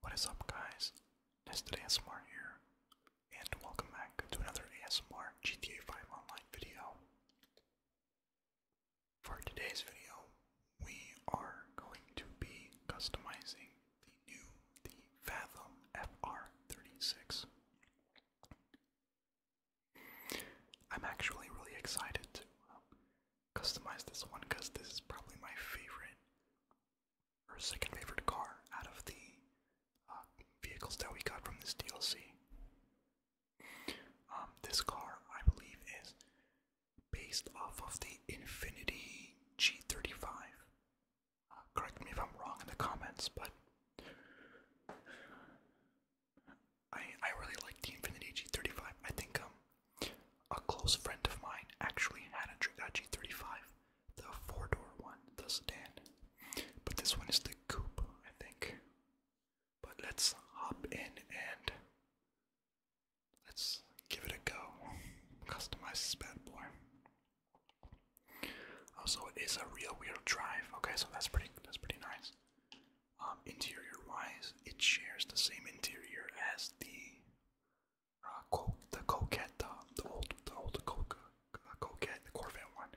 What is up, guys? Nested ASMR here, and welcome back to another ASMR GTA 5 Online video. For today's video, we are going to be customizing the new the Fathom FR36. I'm actually really excited to um, customize this one because this is probably my favorite our second favorite car out of the uh, vehicles that we got from this DLC. Um, this car, I believe, is based off of the Infinity G35. Uh, correct me if I'm wrong in the comments, but I I really like the Infinity G35. I think um a close friend of mine actually had a Dragachi 35, the four door one, the sedan. But this one is the coupe, I think. But let's hop in and let's give it a go. Customize this bad boy. Also, oh, it is a real wheel drive. Okay, so that's pretty. That's pretty nice. Um, interior wise, it shares the same interior as the uh, the Coquette, the old, the old Coquette, the Corvette one.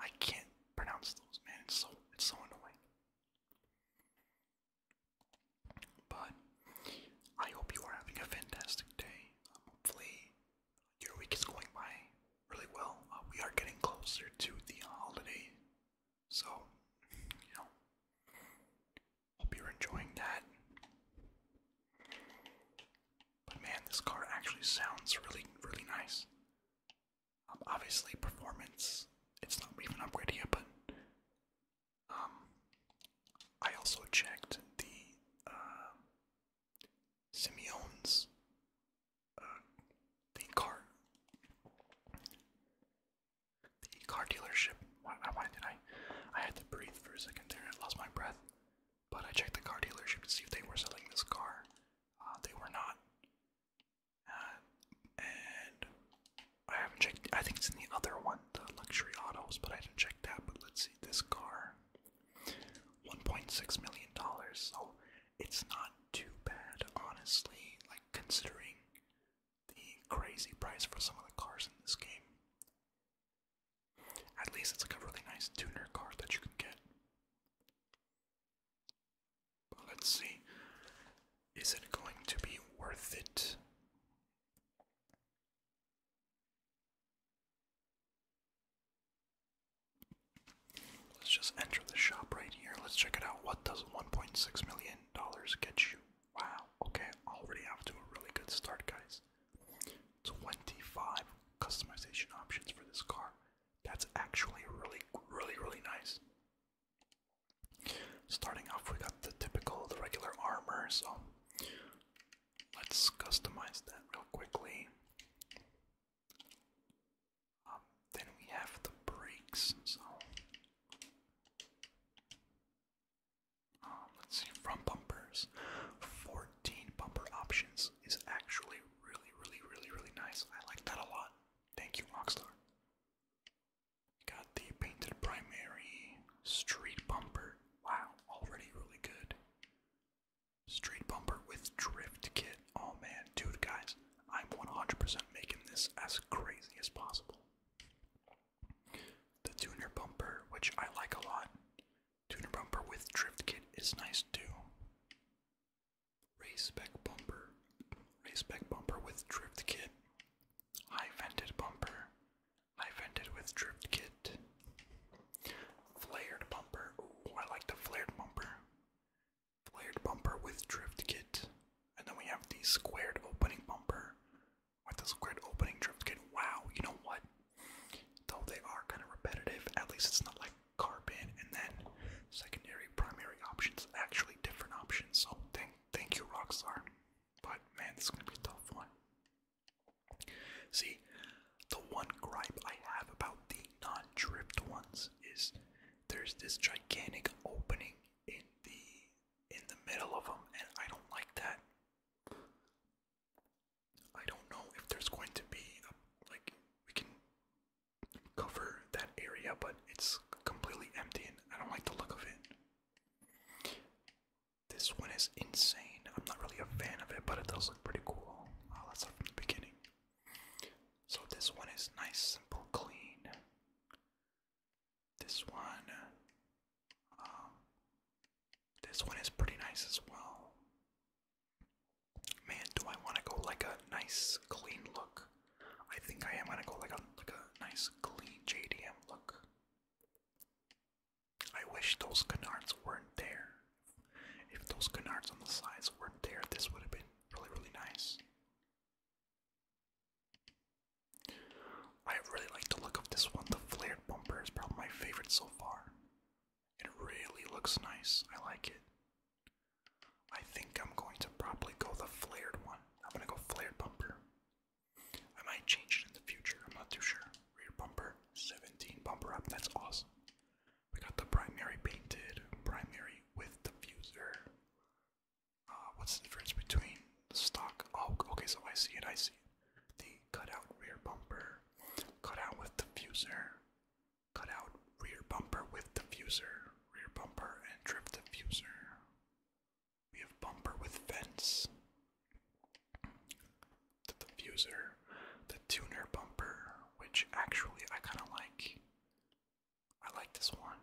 I can't pronounce those, man. It's so, it's so annoying. But I hope you are having a fantastic day. Um, hopefully, your week is going by really well. Uh, we are getting closer to the holiday, so you know, Hope you're enjoying that. But man, this car actually sounds really, really nice. Um, obviously, performance, it's not even upgraded but um, I also checked the uh, Simeon's uh, thing car the car dealership. Why, did I? I had to breathe for a second there. I lost my breath. But I checked the car dealership to see if they were selling this car. Uh, they were not. Uh, and I haven't checked. I think it's in the other one, the luxury autos, but I didn't check that. But let's see this car. $1.6 million, so it's not too bad, honestly, like considering the crazy price for some of the cars in this game. At least it's like a really nice tuner card that you can get. But let's see. Is it going to be worth it? Let's just enter the shop right here. Let's check it out. What does $1.6 million get you? Wow, okay, already off to a really good start, guys. 25 customization options for this car. That's actually really, really, really nice. Starting off, we got the typical, the regular armor, so let's customize that real quickly. Um, then we have the brakes, so um, let's see, front bumpers. 14 bumper options is actually really, really, really, really nice. I like that a lot. Thank you, Rockstar. Got the painted primary street bumper. Wow, already really good. Street bumper with drift kit. Oh man, dude, guys, I'm 100% making this as crazy as possible. The tuner bumper, which I like a lot. Tuner bumper with drift kit is nice too. Race spec bumper. Race spec bumper with drift kit. High vented bumper. High vented with drift kit. Flared bumper. I like the flared bumper. Flared bumper with drift kit. And then we have the squared opening bumper with this weird opening drift kid. Wow, you know what? Though they are kind of repetitive, at least it's not like carbon and then secondary, primary options, actually different options. So thank, thank you, Rockstar. But man, this is gonna be a tough one. See, the one gripe I have about the non-drift ones is there's this gigantic opening in the in the middle of them, and I don't like that. I don't know if there's going to be like we can cover that area, but it's completely empty, and I don't like the look of it. This one is insane. I'm not really a fan of it, but it does look pretty cool. Uh, oh, from the beginning. So this one is nice, simple, clean. This one, um, this one is pretty nice as well. Man, do I want to go like a nice clean look? I think I am gonna go like a like a nice clean JDM look. I wish those canards weren't there. If those canards on the sides weren't there, this would have been really really nice. I really like the look of this one. The flared bumper is probably my favorite so far. It really looks nice. I like it. I think I'm going to probably go the flared one. I'm gonna go flared bumper. I might change it in the future. I'm not too sure. Rear bumper, 17 bumper up. That's awesome. We got the primary painted, primary with diffuser. Uh, what's the difference between the stock? Oh, okay, so I see it. I see it the cutout rear bumper, cutout with diffuser, cutout rear bumper with diffuser, rear bumper and drift diffuser. We have bumper with vents, the diffuser, the tuner bumper, which actually I kind of like. I like this one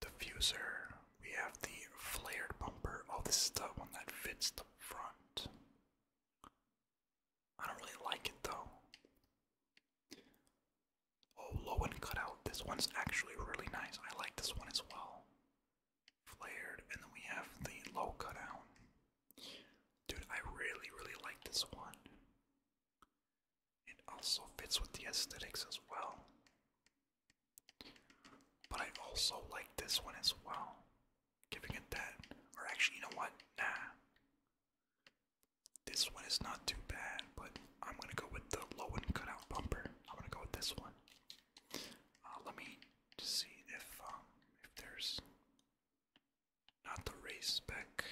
diffuser. We have the flared bumper. Oh, this is the one that fits the front. I don't really like it though. Oh, low and cut This one's actually really nice. I like this one as well. Flared, and then we have the low cutout. Dude, I really, really like this one. It also fits with the aesthetics as well. But I also like this one as well. Giving it that. Or actually, you know what? Nah. This one is not too bad, but I'm gonna go with the low and cutout bumper. I'm gonna go with this one. Uh, let me just see if um if there's not the race spec.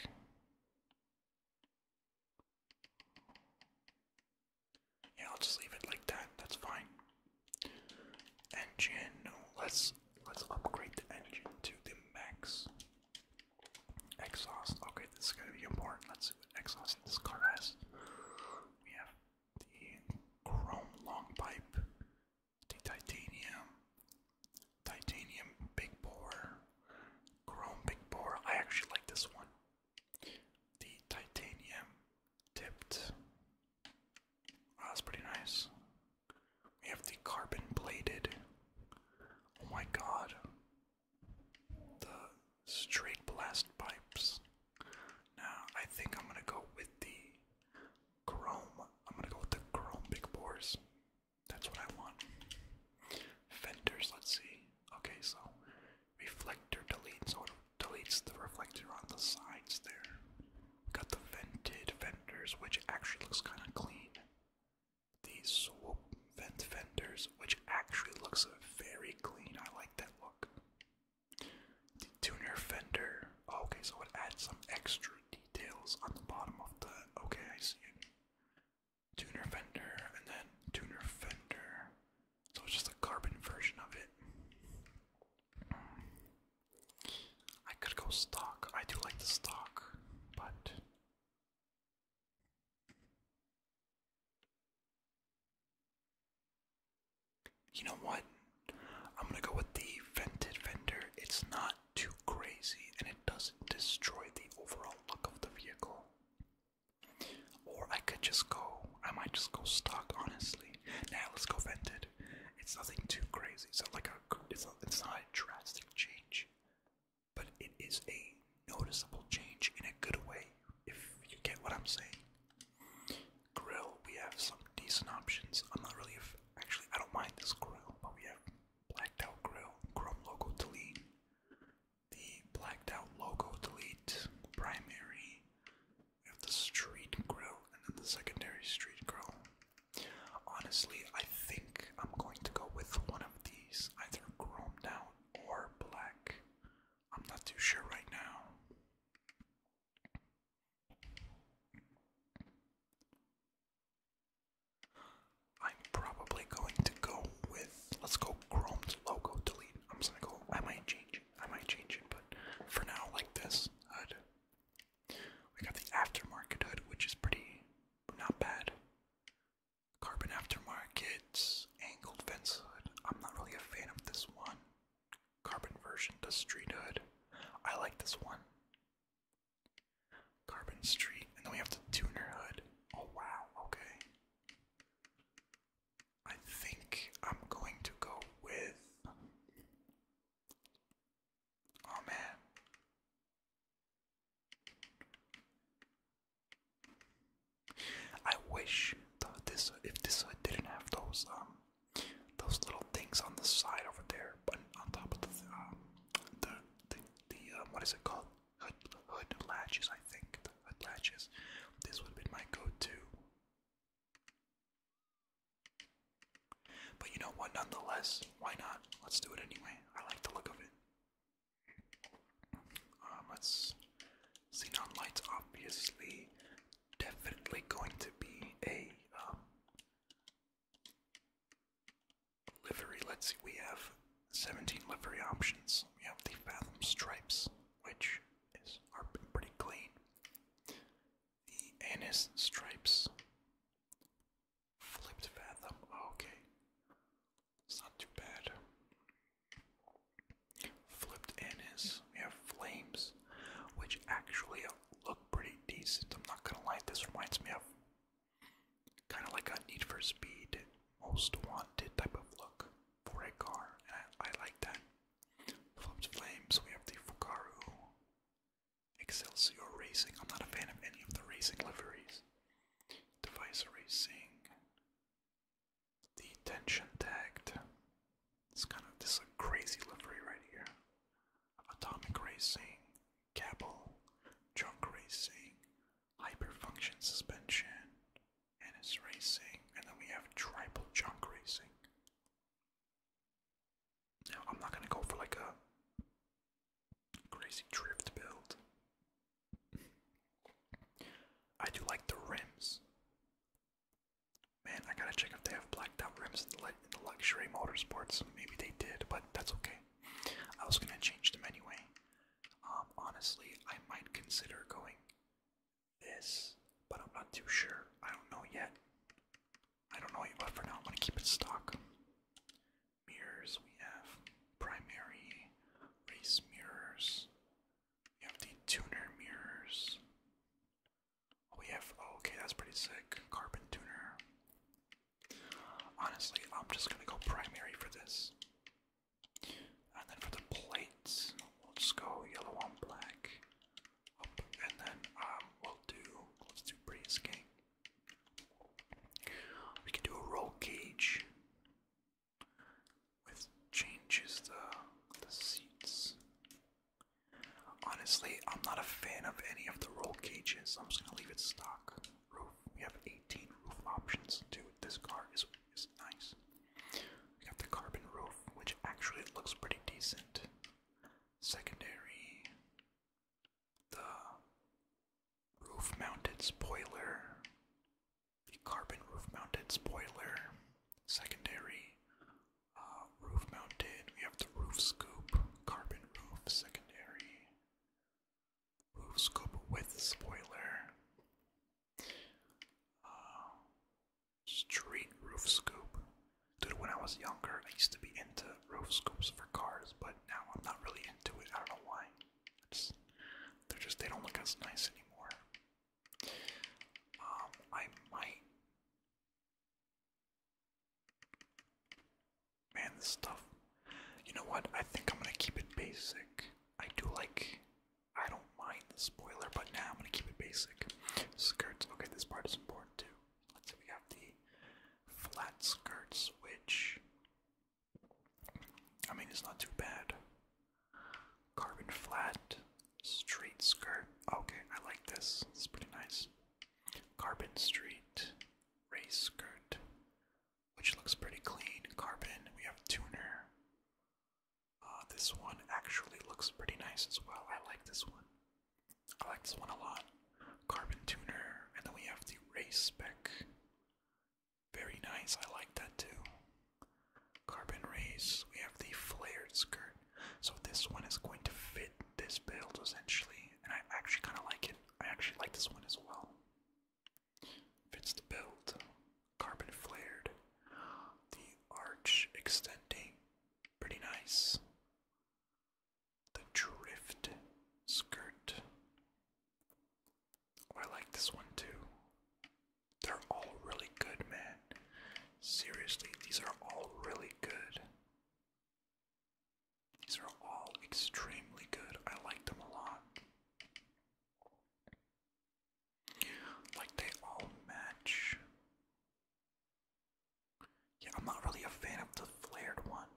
Yeah, I'll just leave it like that. That's fine. Engine. Let's let's upgrade the engine to the max. Exhaust. Okay, this is gonna be important. Let's see what exhaust this car has. We have the chrome long pipe, the titanium, titanium big bore, chrome big bore. I actually like this one. The titanium tipped. that's pretty nice. We have the carbon bladed. Oh my god. The straight blast pipes. Now, I think I'm gonna go with the chrome. I'm gonna go with the chrome big bores. That's what I want. Fenders, let's see. Okay, so reflector delete, so deletes the reflector on the sides there. got the vented fenders, which actually looks kind of clean. These swoop vent fenders, which actually looks very clean. I like that look. The tuner fender. Oh, okay, so it adds some extra details on the bottom of the. Okay, I see it. Tuner fender, and then tuner fender. So it's just a carbon version of it. I could go stock. I do like the stock, but. You know what? I'm gonna go with the vented fender. It's not too crazy and it doesn't destroy the overall look of the vehicle. Or I could just go, I might just go stock, honestly. Now let's go vented. It's nothing too crazy. It's like a, it's not, it's not a drastic change, but it is a noticeable change in a good way, if you get what I'm saying. Grill, we have some decent options. I'm not really, actually, I don't mind this grill, but we have blacked out grill, chrome logo delete, the blacked out logo delete, primary, we have the street grill and then the secondary street grill. Honestly, I think I'm going to go with one of these, either chromed out or black. I'm not too sure right now. I'm probably going to go with let's go Chrome's logo delete. I'm gonna go I might I might change it, but for now, like this hood. We got the aftermarket hood, which is pretty not bad. Carbon aftermarket angled fence hood. I'm not really a fan of this one. Carbon version to street hood. I like this one. Carbon street, and then we have the tuner hood. Oh wow, okay. I think I'm going to go with. Oh man. I wish that this if this didn't have those um those little things on the side over there, but on top of the um the the, the um, what is it called hood hood latches I think hood latches. This would have my go-to. But you know what? Nonetheless, why not? Let's do it anyway. I like the look of it. Um, let Xenon lights, obviously, definitely going to be a um, livery. Let's see, we have 17 livery options. We have the Fathom Stripes, which is are pretty clean the anise stripes. Flipped fathom. Okay. It's not too bad. Flipped anise. We have flames, which actually look pretty decent. I'm not gonna lie, this reminds me of kind of like a Need for Speed, most wanted type of look for a car, and I like that. Flames we have the Fukaru. Excelsior Racing. I'm not a fan of any of the racing liveries. Device Racing. The Tension Tagged. It's kind of this crazy livery right here. Atomic Racing. Cabal. Junk Racing. Hyperfunction Suspension. Ennis Racing. And then we have Tribal Junk Racing. Now, I'm not gonna go for like a crazy drift build. I do like the rims. Man, I gotta check if they have blacked out rims in the, in the luxury motorsports. Maybe they did, but that's okay. I was gonna change them anyway. Um, honestly, I might consider going this, but I'm not too sure. I don't know yet. I don't know yet, but for now I'm gonna keep it stock. Mirrors, we have primary race mirrors. We have the tuner mirrors. Oh, we have, oh, okay, that's pretty sick. Carbon tuner. Honestly, I'm just gonna go primary for this. And then for the plates, we'll just go yellow on black and then um, we'll do let's do breeze We can do a roll cage with changes the the seats. Honestly, I'm not a fan of any of the roll cages. I'm just gonna leave it stock. Roof. We have 18 roof options. Dude, this car is is nice. We got the carbon roof, which actually looks pretty decent secondary, the roof mounted spoiler, the carbon roof mounted spoiler, secondary, uh, roof mounted, we have the roof scoop, carbon roof, secondary, roof scoop with spoiler. Uh, Street roof scoop. Dude, when I was younger, I used to be into roof scoops for cars, but now I'm not really into it. I don't know why. they're just, they don't look as nice anymore. Um, I might. Man, this stuff. You know what? I think I'm gonna keep it basic. I do like. I don't mind the spoiler, but now I'm gonna keep it basic. Skirts. Okay, this part is important too. Let's see, we have the flat skirts, which I mean it's not too bad. Carbon flat, straight skirt. Okay, I like this. It's pretty nice. Carbon street, race skirt, which looks pretty clean. Carbon. We have tuner. Uh, this one actually looks pretty nice as well. I like this one. I like this one a lot. Carbon tuner, and then we have the race spec. Very nice, I like that too. Carbon race, we have the flared skirt. So this one is going to fit this build essentially, and I actually kind of like it. I actually like this one as well. Fits the build. Carbon flared. The arch extending. Pretty nice. The Drift Skirt. Oh, I like this one too. They're all really good, man. Seriously, these are all really good. These are all extremely good. I like them a lot. Like they all match. Yeah, I'm not really a fan of the flared one.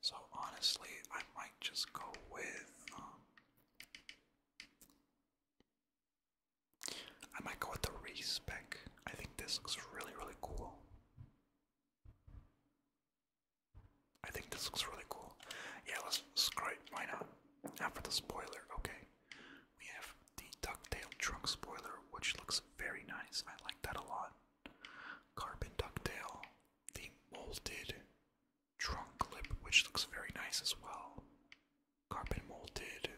So honestly, I might just go with um, I might go with the respec. I think this looks really really cool. I think this looks really cool. Yeah, let's scrape. Why not? After the spoiler, okay. We have the ducktail trunk spoiler, which looks very nice. I like that a lot. Carbon ducktail, the molded trunk lip, which looks very nice as well. Carbon molded,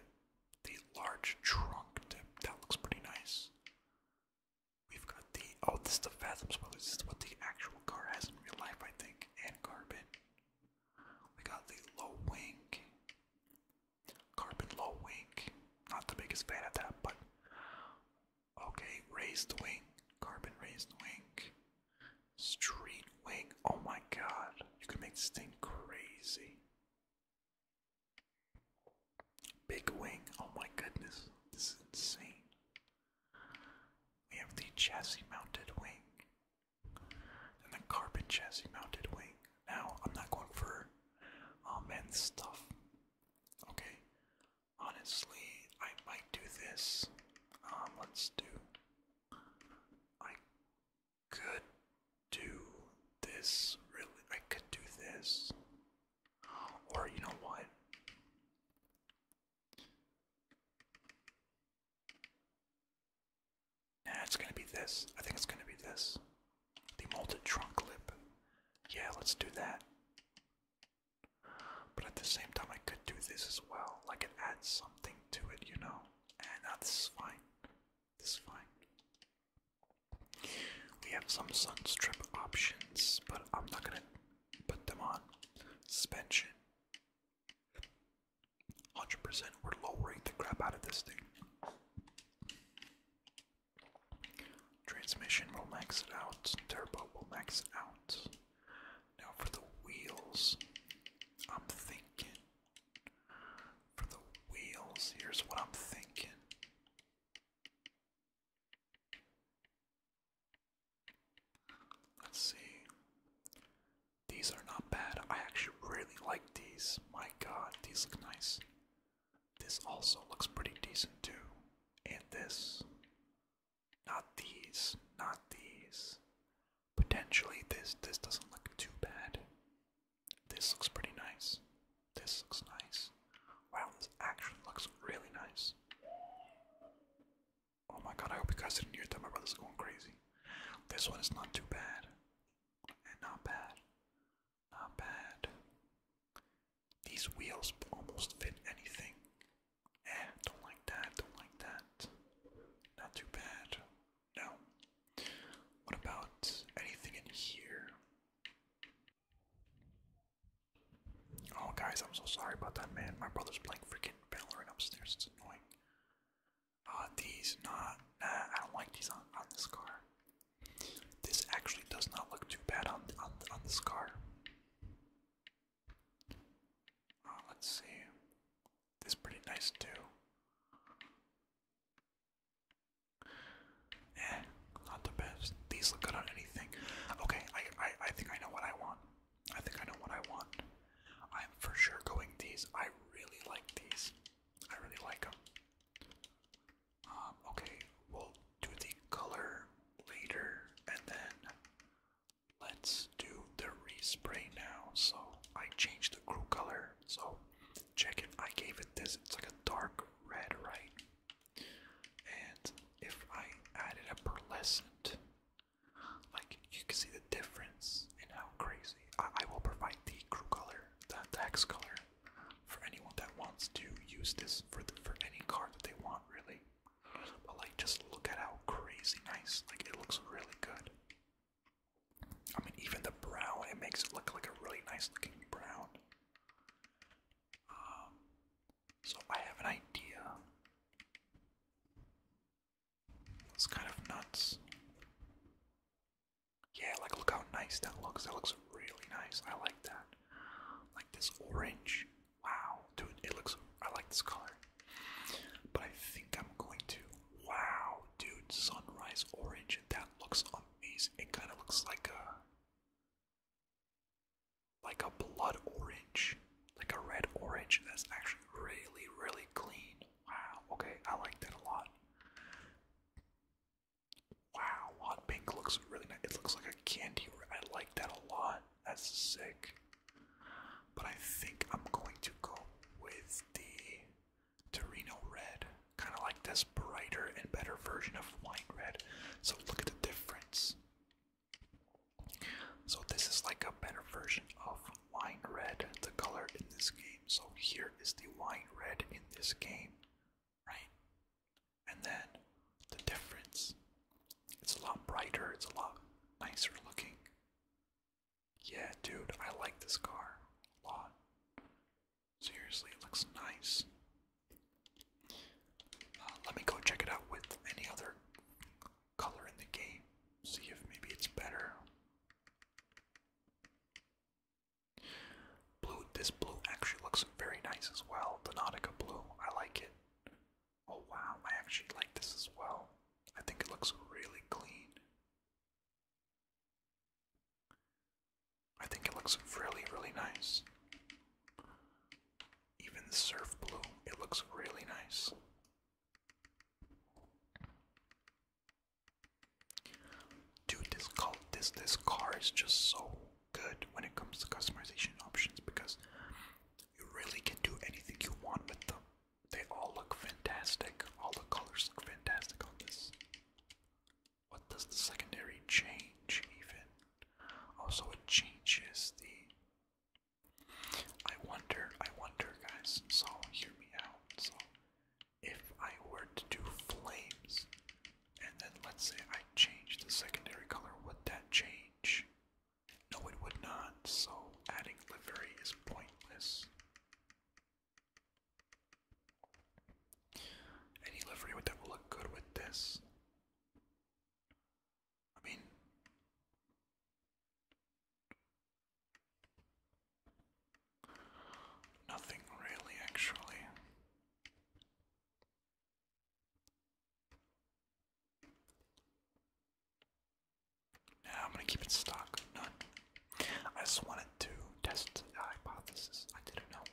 the large trunk tip, that looks pretty nice. We've got the oh, this is the Fathom spoiler. This is what the actual car has in real life, I think, and carbon. We got the low wing, Carbon low wing, not the biggest fan of that, but okay. Raised wing, carbon raised wing, street wing. Oh my god, you can make this thing crazy. Big wing, oh my goodness, this is insane. We have the chassis mounted wing, and the carbon chassis mounted wing. Now, I'm not going for uh, stuff. Okay. Honestly, I might do this. Um, let's do. I could do this, really. I could do this. Or, you know what? Nah, it's gonna be this. I think it's gonna be this. The molded trunk lip. Yeah, let's do that. But at the same time, I could do this as well. Like it adds something to it, you know? And uh, that's fine. This is fine. We have some sunstrip options, but I'm not gonna put them on. Suspension. 100%. We're lowering the crap out of this thing. Transmission will max it out, turbo will max it out. Now for the wheels, I'm thinking. For the wheels, here's what I'm thinking. Let's see. These are not bad. I actually really like these. My god, these look nice. This also looks pretty decent too. And this. Not these. Not these. Potentially this this doesn't look too bad. This looks pretty nice. This looks nice. Wow, this actually looks really nice. Oh my god, I hope you guys didn't hear that. My brother's going crazy. This one is not too bad. And not bad. Not bad. These wheels almost fit anything. Eh, don't like that, don't like that. Not too bad. No. What about anything in here? Oh, guys, I'm so sorry about that, man. My brother's playing freaking Valorant upstairs. It's annoying. Uh, these, nah, nah, I don't like these on, on this car. This actually does not look too bad on on, on this car. Uh, let's see. This is pretty nice too. Eh, not the best. These look good on anything. Okay, I, I I think I know what I want. I think I know what I want. I'm for sure going these. I really like these. I really like them. Um, okay, we'll do the color later and then let's do the respray now. So I changed the crew color. So check it, I gave it this, it's like a dark red, right? And if I added a pearlescent, like you can see the difference in how crazy. I, I will provide the crew color, the, the color for anyone that wants to use this for for any car that they want, really. But like, just look at how crazy nice! Like, it looks really good. I mean, even the brown, it makes it look like a really nice looking brown. Um, so I have an idea. It's kind of nuts. Yeah, like look how nice that looks. That looks really nice. I like that. Like this orange. Wow, dude, it looks. I like this color. But I think I'm going to. Wow, dude, sunrise orange. That looks amazing. It kind of looks like a like a blood orange, like a red orange. That's actually really, really clean. Wow. Okay, I like that a lot. Wow, hot pink looks really nice. It looks like a candy. I like that a lot. That's sick. But I think I'm going to go with the Torino red. Kind of like this brighter and better version of wine red. So look at the difference. So this is like a better version of wine red, the color in this game. So here is the wine red in this game, right? And then the difference. It's a lot brighter, it's a lot nicer looking. Yeah, dude, I like this car a lot. Seriously, it looks nice. Uh, let me go check it out with any other color in the game. See if maybe it's better. Blue, this blue actually looks very nice as well. The Nautica blue, I like it. Oh wow, I actually like this as well. I think it looks really clean. I think it looks really, really nice. Even the surf blue, it looks really nice. Dude, this this car is just so good when it comes to customization options because you really can do anything you want with them. They all look fantastic. All the colors look fantastic on this. What does the secondary change even? Also, oh, it changes the. I wonder, I wonder, guys. So, hear me out. So, if I were to do flames, and then let's say I change the secondary color, would that change? No, it would not, so adding livery is pointless. Any livery would that will look good with this. I mean nothing really actually. Yeah, I'm gonna keep it stock. None. I just wanted to test the hypothesis. I didn't know.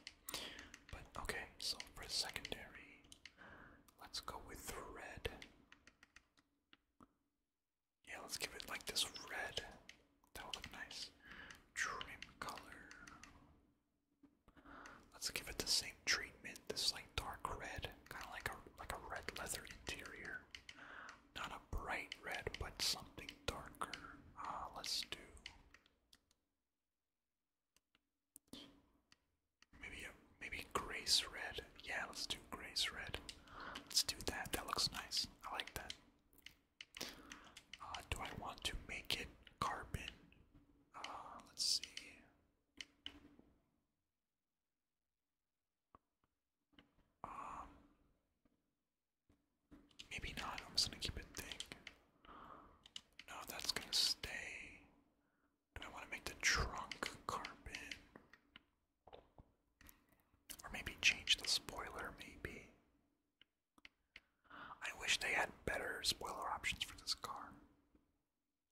But okay, so for secondary, let's go with the red. Yeah, let's give it like this red. That would look nice. Trim color. Let's give it the same treatment. This like dark red, kind of like a like a red leather interior. Not a bright red, but something darker. Uh, let's do maybe maybe grace red. Yeah, let's do grace red. Let's do that. That looks nice. I like that. Uh, do I want to make it carbon? Uh, let's see. Um, maybe not. I'm just gonna keep it thick. No, that's gonna stay. And I want to make the trunk carbon, or maybe change the spoiler. Maybe I wish they had better spoiler options for this car.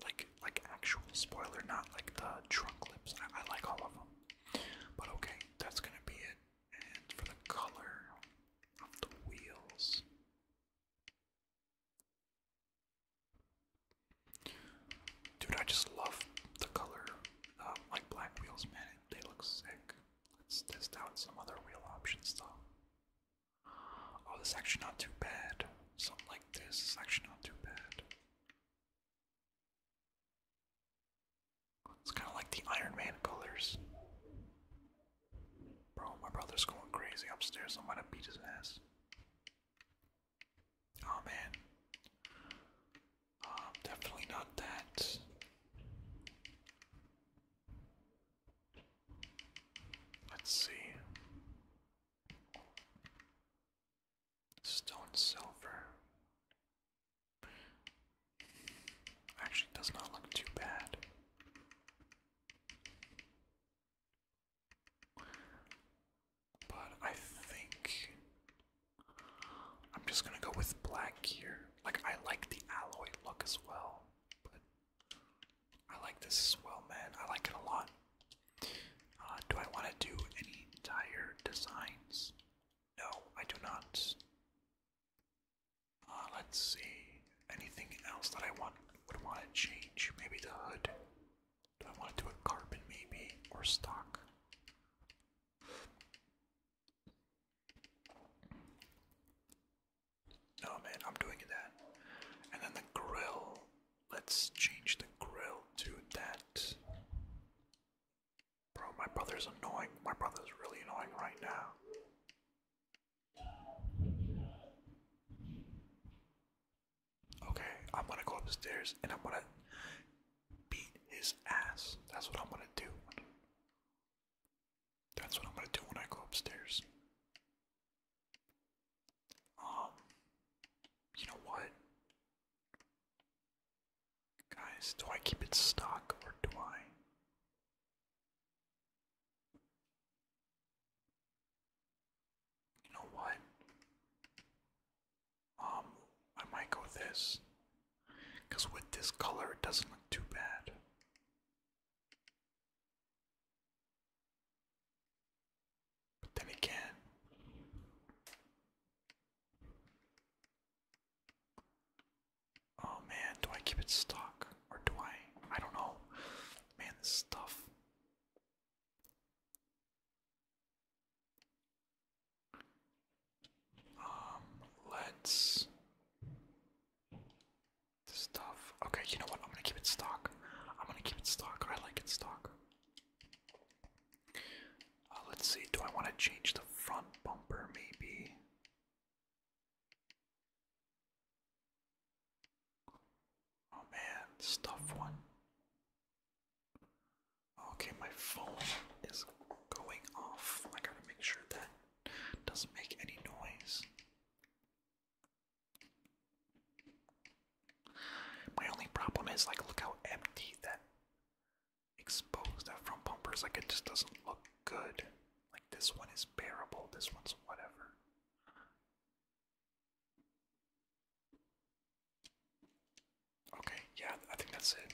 Like, like actual spoiler, not like the trunk lips. I, like all of them. But okay, that's gonna be it. And for the color of the wheels, dude, I just love the color. like black wheels, man, they look sick. Let's test out some other wheel options though. Oh, this is actually not too bad. Something like this is actually not too bad. It's kind of like the Iron Man colors. Bro, my brother's going crazy upstairs. I'm gonna beat his ass. Oh man. Um, definitely not that. Let's see. Stone silver. Actually does not look too bad. But I think I'm just gonna go with black here. Like I like the alloy look as well, but I like this as well, man. I like it a lot. Uh, do I want to do any tire designs? No, I do not. Uh, let's see. Anything else that I want would want to change? Maybe the hood. Do I want to do a carbon, maybe, or stock? Oh man, I'm doing that. And then the grill. Let's change the grill to that. Bro, my brother's annoying. My brother's really annoying right now. Okay, I'm gonna go upstairs and I'm gonna beat his ass. That's what I'm gonna do. That's what I'm gonna do when I go upstairs. Um, you know what? Guys, do I keep it stock or do I? You know what? Um, I might go with this. Because with this color, it doesn't look too bad. But then again, oh man, do I keep it stock or do I? I don't know. Man, this stuff. Um, let's Stuff. Okay, you know what? I'm gonna keep it stock. I'm gonna keep it stock. I like it stock. Uh, let's see. Do I want to change the front bumper? Maybe. Oh man, stuff one. Okay, my phone is going off. I gotta make sure that doesn't make any noise. My only problem is like look how empty that exposed that front bumper is like it just doesn't look good. Like this one is bearable, this one's whatever. Okay, yeah, I think that's it.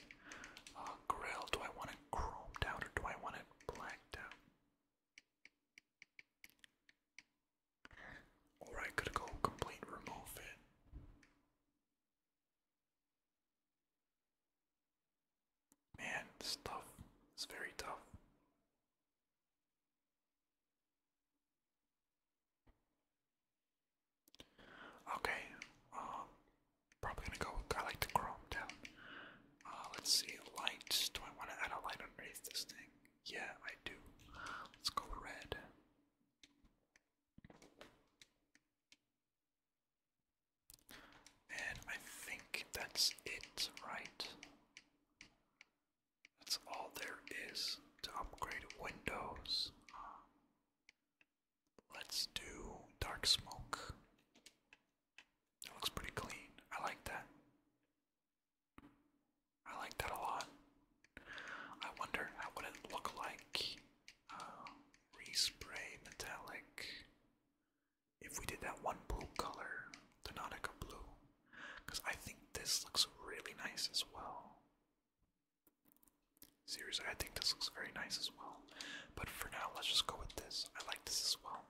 Uh, grill, do I want it chromed out or do I want it blacked out? Alright, gotta go complete remove it. Man, this tough. It's very tough. Okay, um, probably gonna go. I like the chrome down. Oh, let's see, light. Do I want to add a light underneath this thing? Yeah, I do. Let's go red. And I think that's it, right? That's all there is to upgrade windows. let's do dark smoke. That looks pretty clean. I like that. I like that a lot. I wonder how would it look like uh, respray metallic if we did that one blue color, the Nautica blue, because I think this looks really nice as well. Seriously, I think this looks very nice as well. But for now, let's just go with this. I like this as well.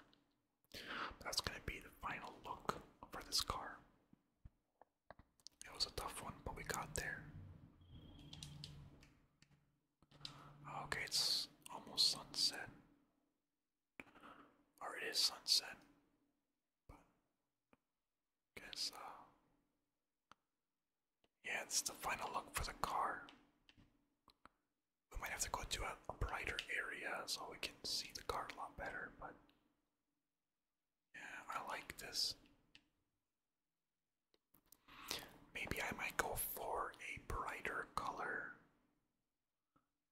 That's going to be the final look for this car. It was a tough one, but we got there. Okay, it's almost sunset. Or it is sunset. But I guess uh, yeah, it's the final look for the car. We might have to go to a a brighter area so we can see the car a lot better, but yeah, I like this. Maybe I might go for a brighter color.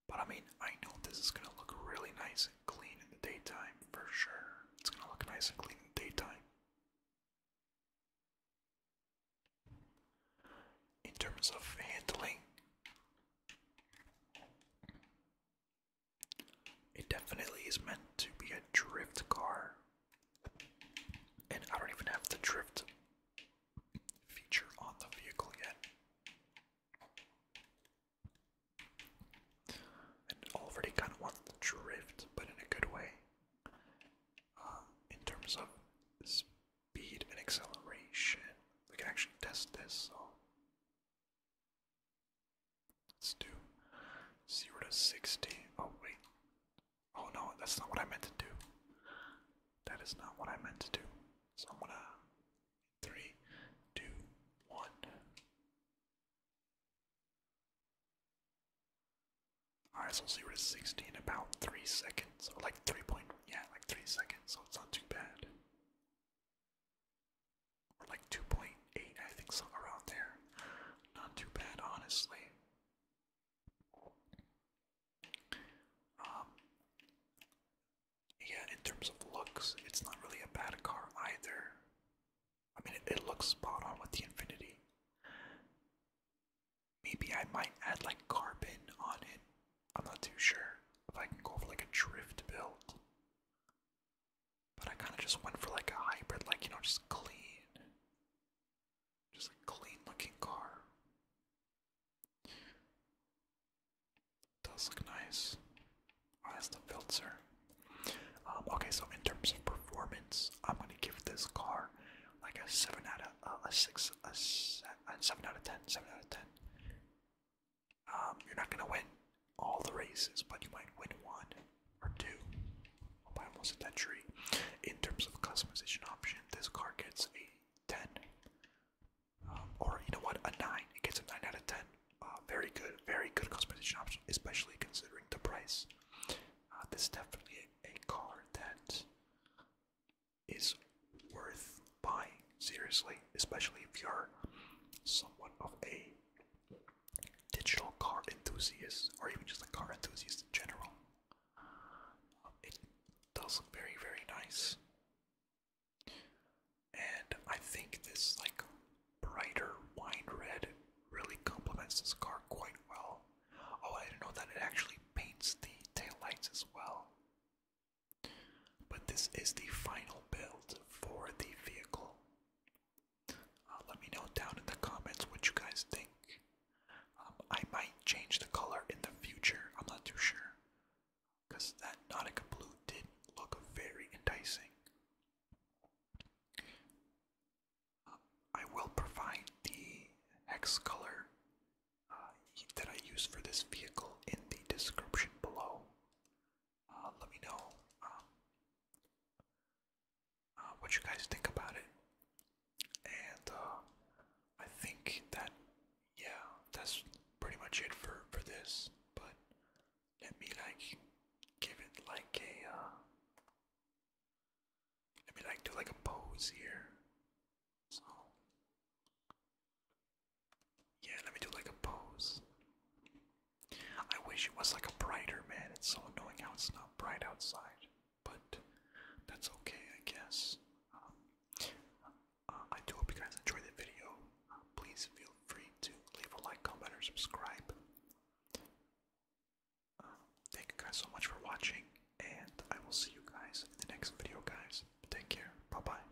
But I mean, I know this is gonna look really nice and clean in the daytime for sure. It's gonna look nice and clean in daytime. In terms of handling, it definitely is meant to be a drift car. And I don't even have the drift feature on the vehicle yet. And already kind of wants the drift, but in a good way. Um, in terms of speed and acceleration, we can actually test this, so Let's do 0 to 60. Oh, wait. Oh, no, that's not what I meant to do. That is not what I meant to do. So I'm gonna. 3, 2, 1. Alright, so 0 to 60 in about 3 seconds. Or like 3 point. Yeah, like 3 seconds, so it's not too bad like 2.8, I think, something around there. Not too bad, honestly. Um, yeah, in terms of looks, it's not really a bad car either. I mean, it looks spot on with the Infinity. Maybe I might add like carbon on it I'm not too sure if I can go for like a drift build. But I kind of just went for like a hybrid, like, you know, just clean. Just a clean looking car. Does look nice. Oh, that's the filter. Um, okay, so in terms of performance, I'm gonna give this car like a seven out of uh, a six, a seven out of ten, seven out of ten. Um, you're not going to win all the races, but you might win one or two. I almost hit that tree. In terms of customization option, this car gets a 10. Um, or, you know what, a 9. It gets a 9 out of 10. Uh, very good, very good customization option, especially considering the price. Uh, this definitely a car that is worth buying seriously, especially if you're somewhat of a digital car enthusiast or even just a car enthusiast in general. it does look very, very nice. And I think this like brighter wine red really complements this car quite well. Oh, I didn't know that it actually paints the tail lights as well. But this is the final build for the vehicle. Uh, let me know down in the comments what you guys think. Um, I might change the color in the future, I'm not too sure. Because that Nautica blue did look very enticing. Um, I will provide the hex color uh, that I use for this vehicle in the description below. Uh, let me know um, uh, what you guys think about it. And uh, I think that yeah, that's pretty much it for for this. But let me like give it like a let me like do like a pose here. So yeah, let me do like a pose. I wish it was like a brighter man. It's so annoying how it's not bright outside, but that's okay, I guess. Um, uh, I do hope you guys enjoyed the video. Uh, please feel free to leave a like, comment, or subscribe. Uh, thank you guys so much for watching, and I will see you guys in the next video, guys. Take care. Bye bye.